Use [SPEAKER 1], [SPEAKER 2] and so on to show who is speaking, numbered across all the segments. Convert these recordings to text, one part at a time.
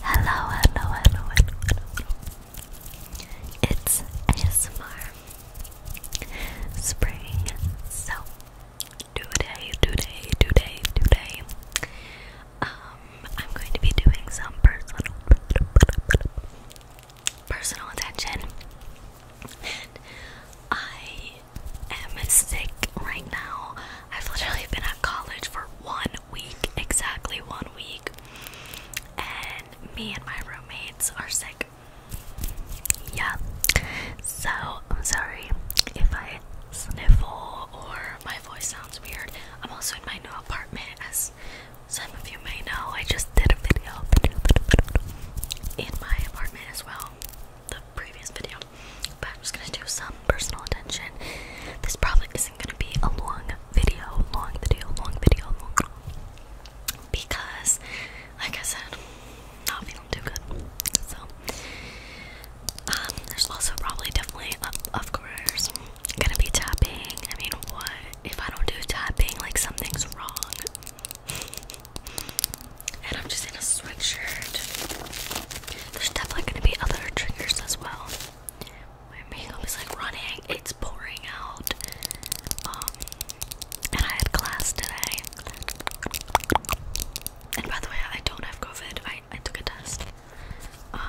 [SPEAKER 1] Hello, hello, hello, hello, It's ASMR Spring. So today, today, today, today, um, I'm going to be doing some personal, personal attention, and I i am sick right now. I've literally been at college for one week, exactly one week, and me and my roommates are sick. Yeah, so I'm sorry if I sniffle or my voice sounds weird. I'm also in my new apartment, as some of you may know. I just did a video in my apartment as well the previous video, but I'm just gonna do some personal attention. This probably isn't gonna be a long video, long video, long video, because, like I said, not feeling too good. So, um, there's also probably definitely, um, of course, gonna be tapping. I mean, what if I don't do tapping? Like something's wrong. And I'm just in a sweatshirt. There's definitely gonna be other triggers as well. My makeup is like running, it's pouring out. Um, and I had class today. And by the way, I don't have COVID. I, took a test. Um,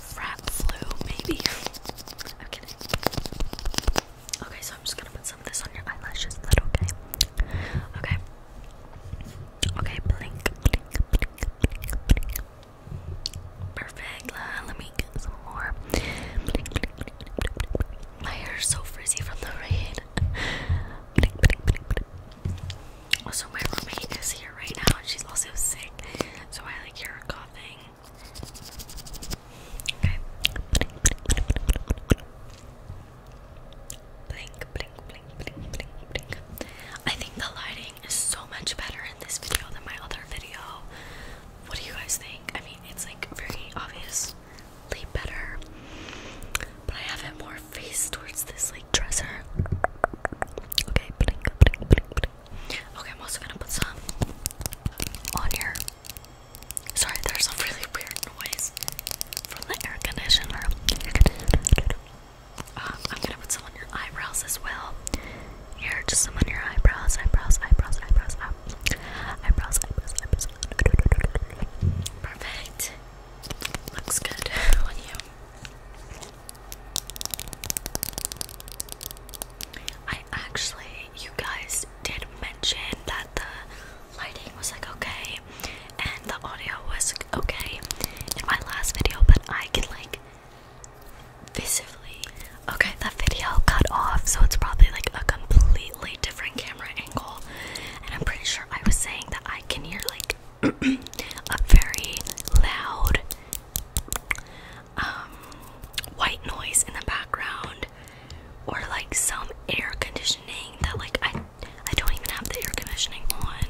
[SPEAKER 1] frat flu, maybe. I'm kidding. Okay, so I'm just gonna put some of this on your eyelashes. Is that okay? Okay. Okay, blink, blink, blink, blink, Perfect. let me get some more. Blink, My hair so frizzy from the rain. Also, my roommate is here right now, and she's also sick, so I like hear her coughing. Okay. Blink, blink, blink, blink, blink, blink. I think the lighting is so much better in this video than my other video. What do you guys think? I mean, it's like very obviously better, but I have it more face towards this like dresser. Okay, blink, blink, blink, blink. Okay, I'm also gonna put some on here. Sorry, there's a really weird noise from the air conditioner. Um, I'm gonna put some on your eyebrows as well. Here, just some on your eyebrows, eyebrows, eyebrows, eyebrows, eyebrows, eyebrows, eyebrows. Perfect. Looks good on you. I actually, you guys did mention that the lighting was like okay and the audio was okay in my last video, but I can like visibly. Okay, that video cut off, so it's probably like a completely different camera angle. And I'm pretty sure I was saying that I can hear like a very loud um, white noise in the background or like some air conditioning that like I I don't even have the air conditioning on.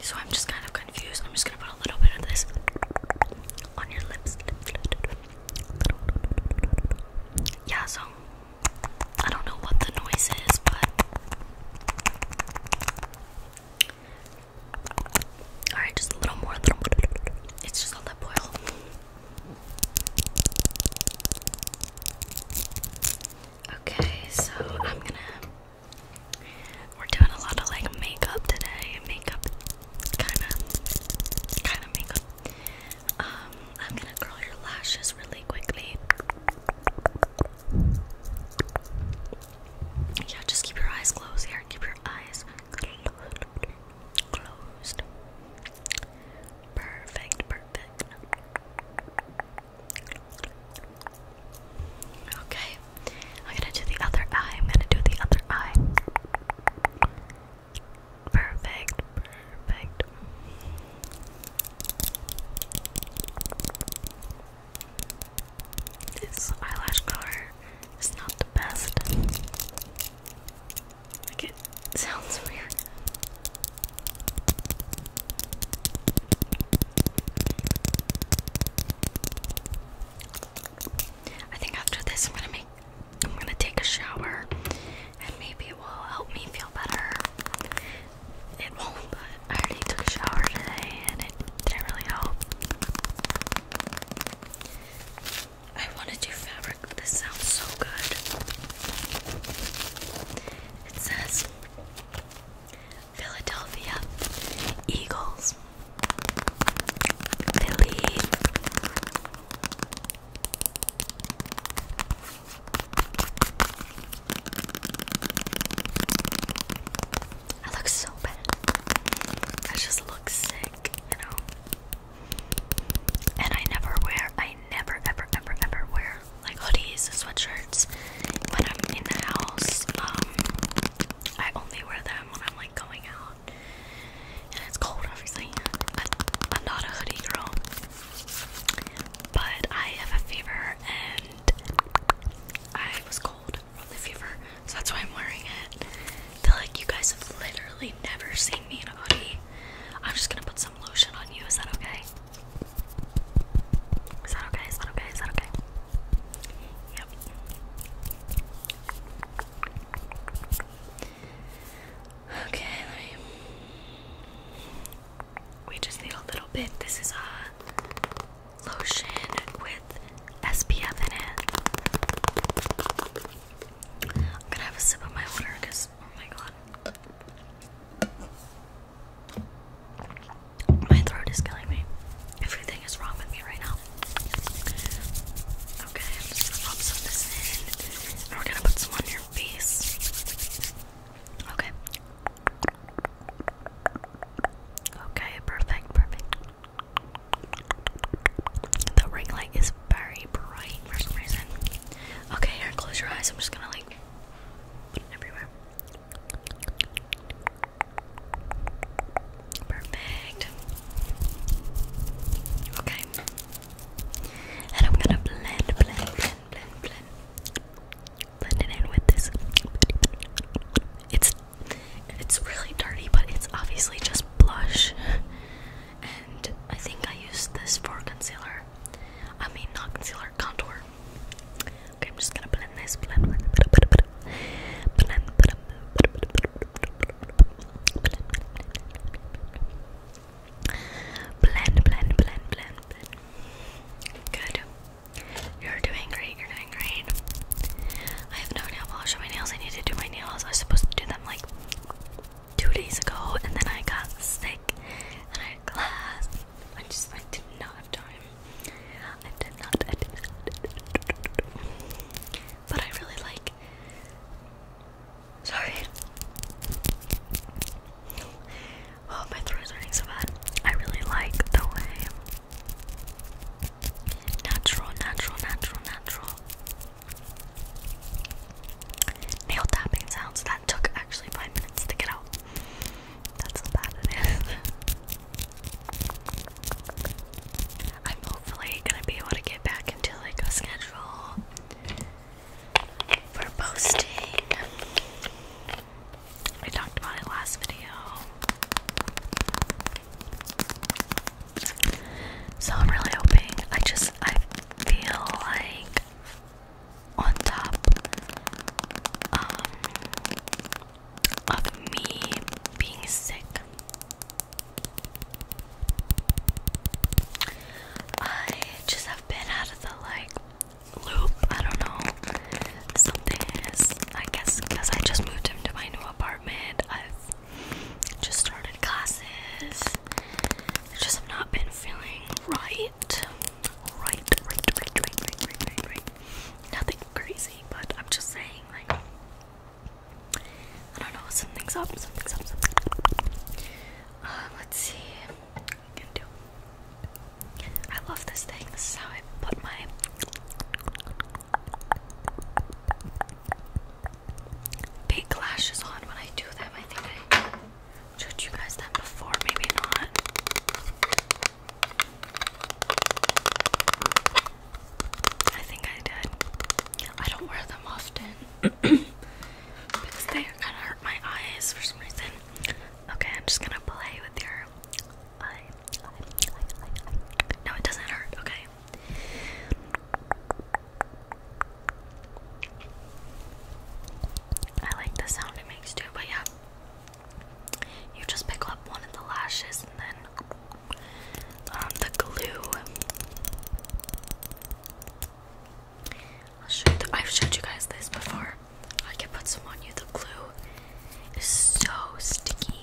[SPEAKER 1] So I'm just kind of confused. I'm just gonna put a little bit of this on your lips. Yeah, so I don't know what the noise is, but alright, just a little more. It's just a lip oil. Okay, so I'm gonna. We're doing a lot of like makeup today. Makeup, kind of, kind of makeup. Um, I'm gonna curl your lashes really quickly. Yeah, just keep your eyes closed here. Keep your eyes closed. Closed. Perfect, perfect. Okay, I'm gonna do the other eye. I'm gonna do the other eye. Perfect, perfect. This eyelash color is not the best it sounds weird. I think after this am gonna I'm gonna take a shower and maybe it will help me feel better. It won't, but I already took a shower today and it didn't really help. I want to do fabric. This sounds so good. It says Philadelphia Eagles. Philly. I look so bad. I just look sick, you know. And I never wear, I never ever ever ever wear like hoodies, sweatshirts when I'm in the house. Um, I only wear them when I'm like going out. And it's cold, obviously. I'm not a hoodie girl. But I have a fever and I was cold from the fever, so that's why I'm wearing it feel like you guys have literally never seen me in a hoodie. I'm just gonna put some lotion on you. Is that okay? Is that okay? Is that okay? Is that okay? Yep. Okay, We just need a little bit. This is a lotion with SPF in it. I'm gonna have a sip of my water because, oh my god. My throat is killing me. Everything is wrong with me right now. Okay, I'm just gonna pop some of this in. And we're gonna put some on your face. Okay. Okay, perfect, perfect. The ring light is very bright for some reason. Okay, here, close your eyes. I'm just gonna like everywhere. Perfect. Okay. And I'm gonna blend, blend, blend, blend, blend. Blend it in with this. It's it's really dirty, but it's obviously just blush and I think I used this for concealer. I mean, not concealer, contour. Okay, I'm just gonna blend this. Blend, blend, blend, blend, blend, blend, blend, blend, blend, blend, blend, blend, blend. Good. You're doing great. You're doing great. I have no nail polish on my nails. I need to do my nails. I was supposed to do them like two days ago, and then I got sick and I had class. I just I did not have time. I did not. I did But I really like. Sorry. Oh, my throat is hurting so bad. I really like the way natural, natural, natural, natural Nail tapping sounds. That took actually five minutes to get out. That's how bad it is. I'm hopefully gonna be able to get back into like a schedule for posting. I talked about it last video. So I'm really hoping. I just I feel like on top um, of me being sick, I just have been out of the like loop. I don't know. Something is, I guess, because I just moved into my new apartment. Just started classes. I just have not been feeling right. Right, right, right, right, right, right, right, right. Nothing crazy, but I'm just saying, like, I don't know, something's up, something's up, something's up. Uh, let's see what I can do. I love this thing. This is how I put my big lashes on when I do them. I think I showed you guys them before, maybe not. I think I did. I don't wear them often because they kind of hurt my eyes for some reason. Okay, I'm just gonna play with your eye. No, it doesn't hurt. Okay. I like the sound it makes too, but yeah. You just pick up one of the lashes and then um, the glue. I've showed you guys this before. I can put some on you. The glue is so sticky.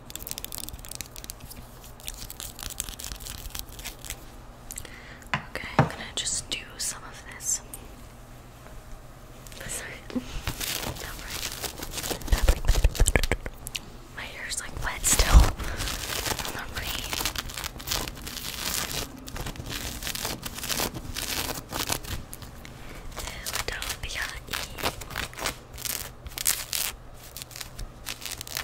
[SPEAKER 1] Okay, I'm gonna just do some of this. Sorry. Right. My hair's like wet still.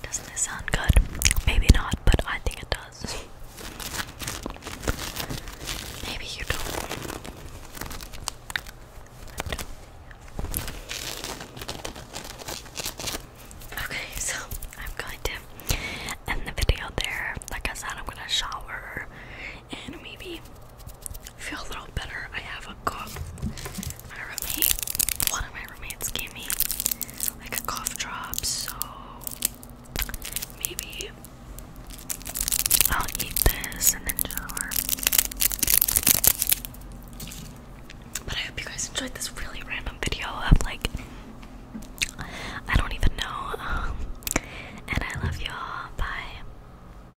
[SPEAKER 1] Doesn't this sound good? Maybe not, but I think it does. Maybe you don't. Okay, so I'm going to end the video there. Like I said, I'm gonna shower and maybe I feel a little better. I have a cough. My roommate, one of my roommates gave me like a cough drop, so maybe I'll eat this and then shower. But I hope you guys enjoyed this really random video of like I don't even know. Um, and I love y'all. Bye.